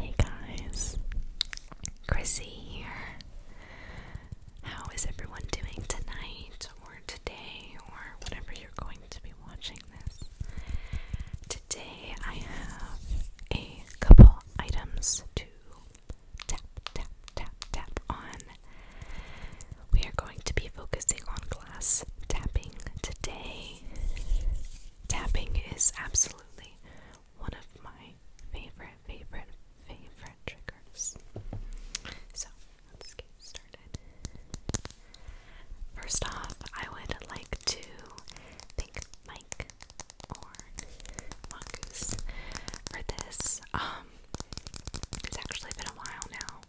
Hey guys, Chrissy here. How is everyone doing tonight or today or whenever you're going to be watching this? Today I have a couple items to tap, tap, tap, tap on. We are going to be focusing on glass tapping today. Tapping is absolutely one of my favorite, favorite, favorite triggers. So let's get started. First off, I would like to thank Mike or Mongoose for this. Um, it's actually been a while now.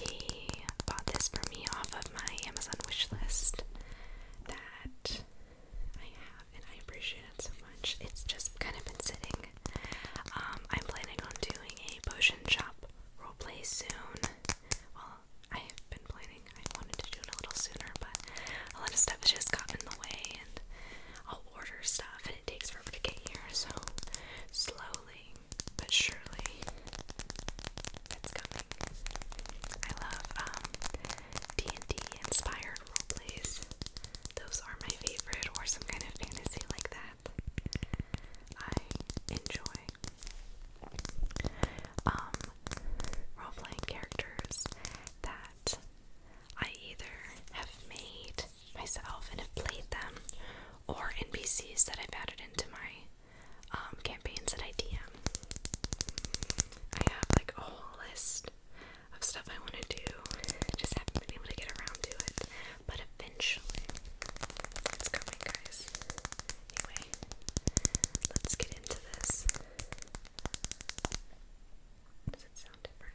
He bought this for me off of my Amazon wish list that I have and I appreciate it so much. It's just kind of been sitting. Um, I'm planning on doing a potion shop roleplay soon. Well, I've been planning, I wanted to do it a little sooner, but a lot of stuff has just gotten in the way and I'll order stuff and it takes forever to get here, so slowly but surely it's coming. I love D&D um, inspired role plays. Those are my favorite or some kind of fantasy like that. I enjoy um role playing characters that I either have made myself and have played them or NPCs that I've added into my um, campaigns that I DM. I have like a whole list of stuff I want to do. Just haven't been able to get around to it, but eventually it's coming, guys. Anyway, let's get into this. Does it sound different?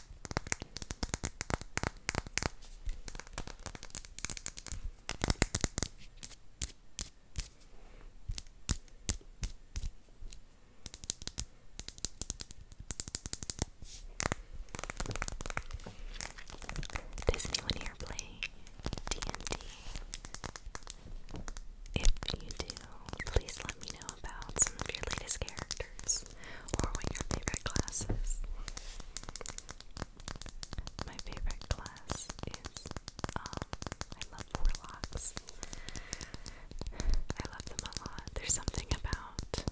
Does anyone here play D&D? If you do, please let me know about some of your latest characters or what your favorite class is. My favorite class is, um, I love warlocks. I love them a lot. There's something about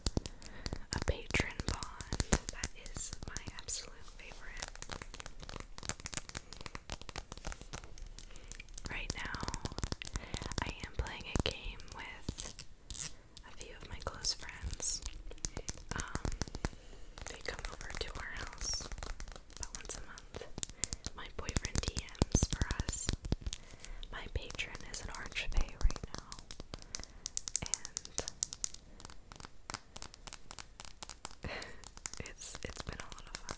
a patron bond that is my absolute favorite. Right now, I am playing a game with a few of my close friends. Um, they come over to our house about once a month. My boyfriend DMs for us. My patron is an archfey right now. And it's it's been a lot of fun.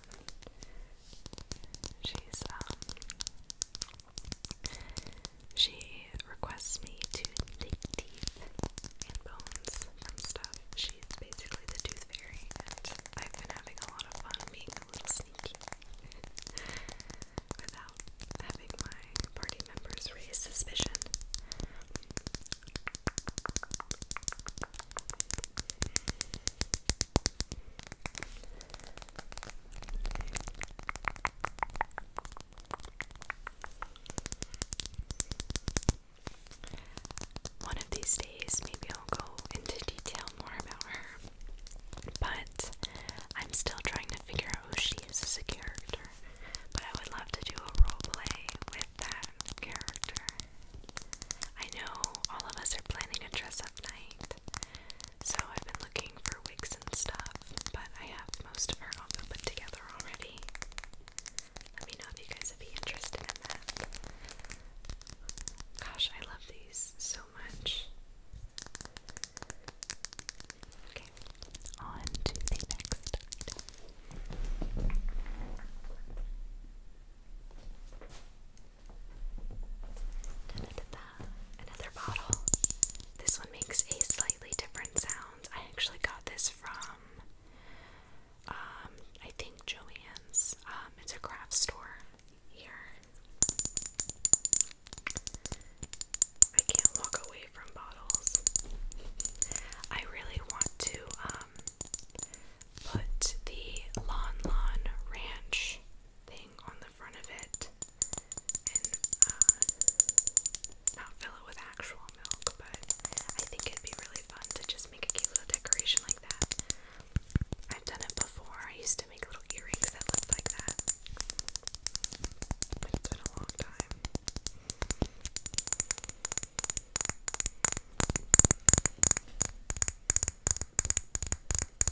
She's um she requests me to dig teeth and bones and stuff. She's basically the tooth fairy, and I've been having a lot of fun being a little sneaky without having my party members raise suspicion. One of these days, maybe I'll go into detail more about her, but I'm still trying to figure out who she is as a character. But I would love to do a role play with that character. I know all of us are planning a dress up night, so I've been looking for wigs and stuff, but I have most of her all put together already. Let me know if you guys would be interested in that. Gosh, I love these so much. Okay, on to the next another bottle. This one makes a slightly different sound. I actually got this from, um, I think Joann's. Um, it's a craft store here. I can't walk away from bottles. I really want to um, put the Lon Lon Ranch thing on the front of it and uh, not fill it with actual milk, but I think it'd be really fun to just make a cute little decoration like that. I've done it before. I used to make little earrings that looked like that. But it's been a long time.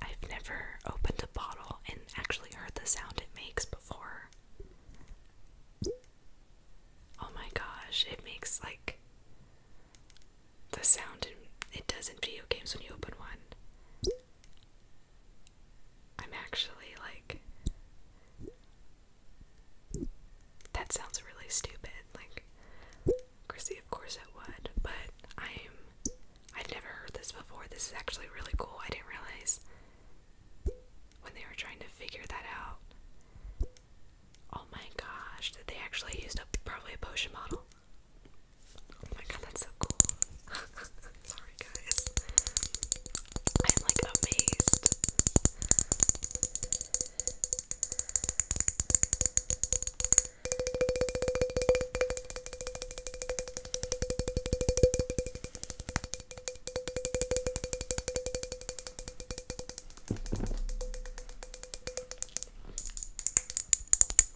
I've never opened a bottle and actually heard the sound it makes before. Oh my gosh, it makes like the sound it does in video games when you open one. I'm actually like that sounds really stupid. Like Chrissy, of course it would, but I'm I've never heard this before. This is actually really cool. I didn't realize when they were trying to figure that out. Oh my gosh, did they actually used a probably a potion bottle? Oh my god, that's so cool. Sorry, guys. I'm like amazed. One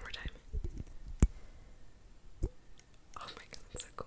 more time. Oh my god, that's so cool.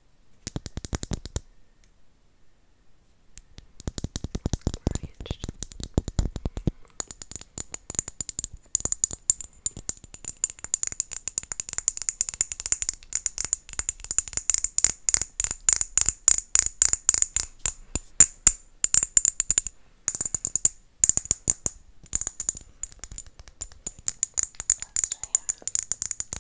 branched Last I have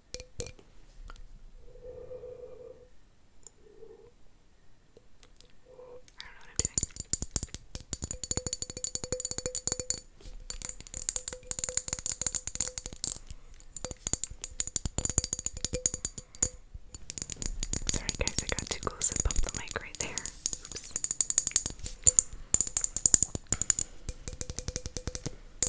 I don't know what I'm doing. Sorry guys, I got too close and bumped the mic right there. Oops. Okay.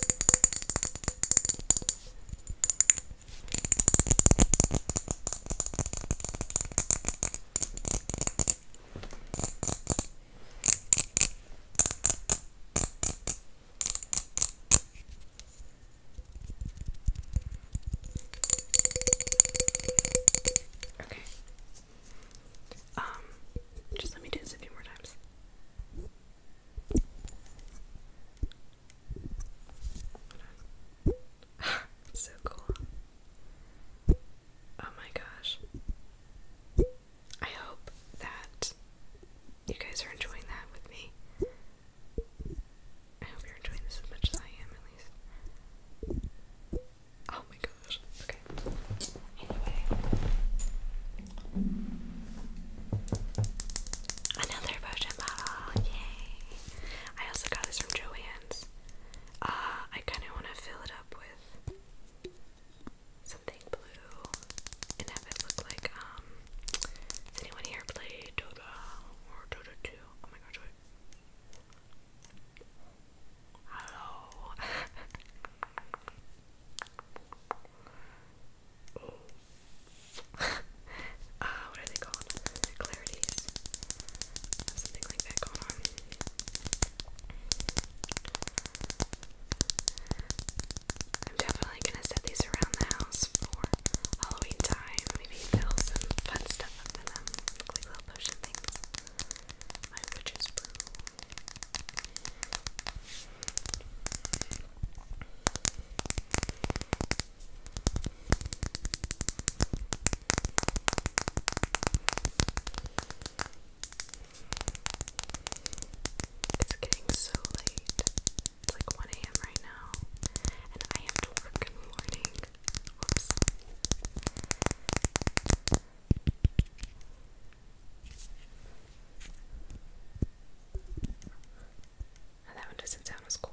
Um, just let me do this a few more times. so cool. Oh my gosh. I hope that you guys are enjoying that with me. I hope you're enjoying this as much as I am, at least. Oh my gosh. Okay. Anyway. Another potion bottle. Yay. I also got this from Joanne's. Uh, I kind of want to fill it up with something blue and have it look like, um, has anyone here played Dota or Dota 2? Oh my gosh, Hello. uh, what are they called? Clarities. Something like that going on. I'm definitely gonna set these around the house for Halloween time. Maybe fill some fun stuff up in them. little potion things. My witch's brew. It's getting so late. It's like 1 a.m. right now, and I have to morning that one doesn't sound as cool.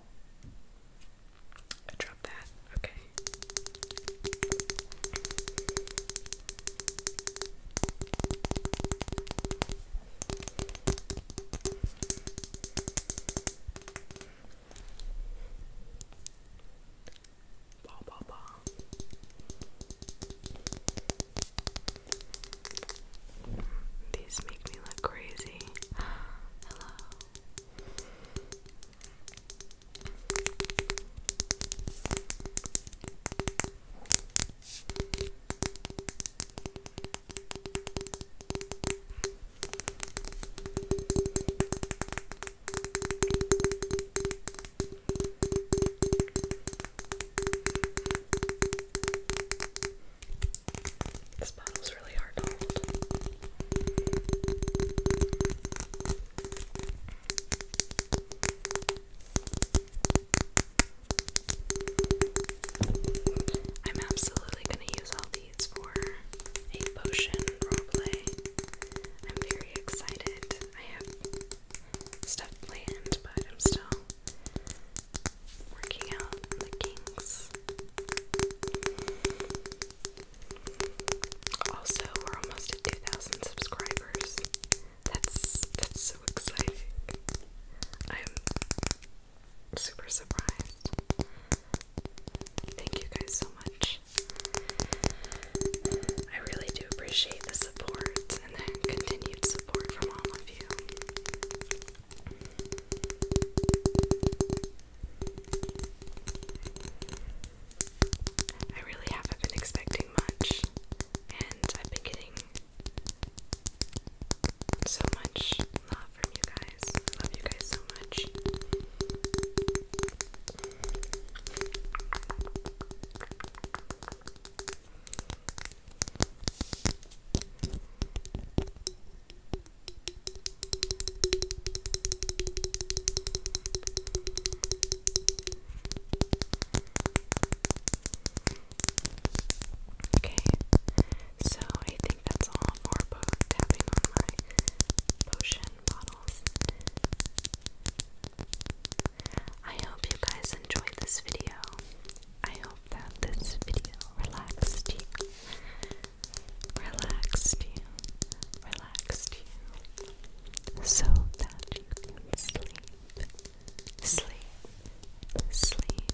I dropped that. Okay. Bah, bah, bah. These make me look crazy. Hello. This bottle's really hard to hold. I'm absolutely going to use all these for a potion roleplay. I'm very excited. I have stuff planned, but I'm still working out the kinks. Also, we're almost at 2,000 subscribers. That's that's so exciting. I'm super surprised. Thank you guys so much. I really do appreciate the support and the continued support from all of you. I really haven't been expecting much, and I've been getting so much love from you guys. love you guys so much. Okay, so I think that's all for po tapping on my potion bottles. I hope you guys enjoyed this video. I hope that this video relaxed you. Relaxed you. Relaxed you. So that you can sleep. Sleep. Sleep.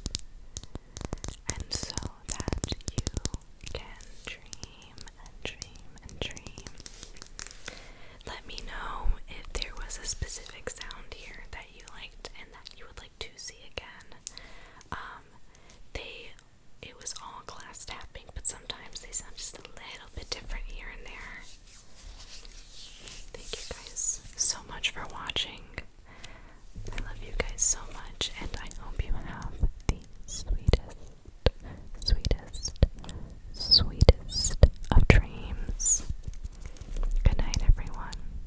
And so that you can dream and dream and dream. Let me know if there was a specific sound here that you liked and that you would like to see again. Um, they it was all glass tapping, but sometimes they sound just a little bit different here and there. Thank you guys so much for watching. I love you guys so much, and I hope you have the sweetest, sweetest, sweetest of dreams. Good night, everyone.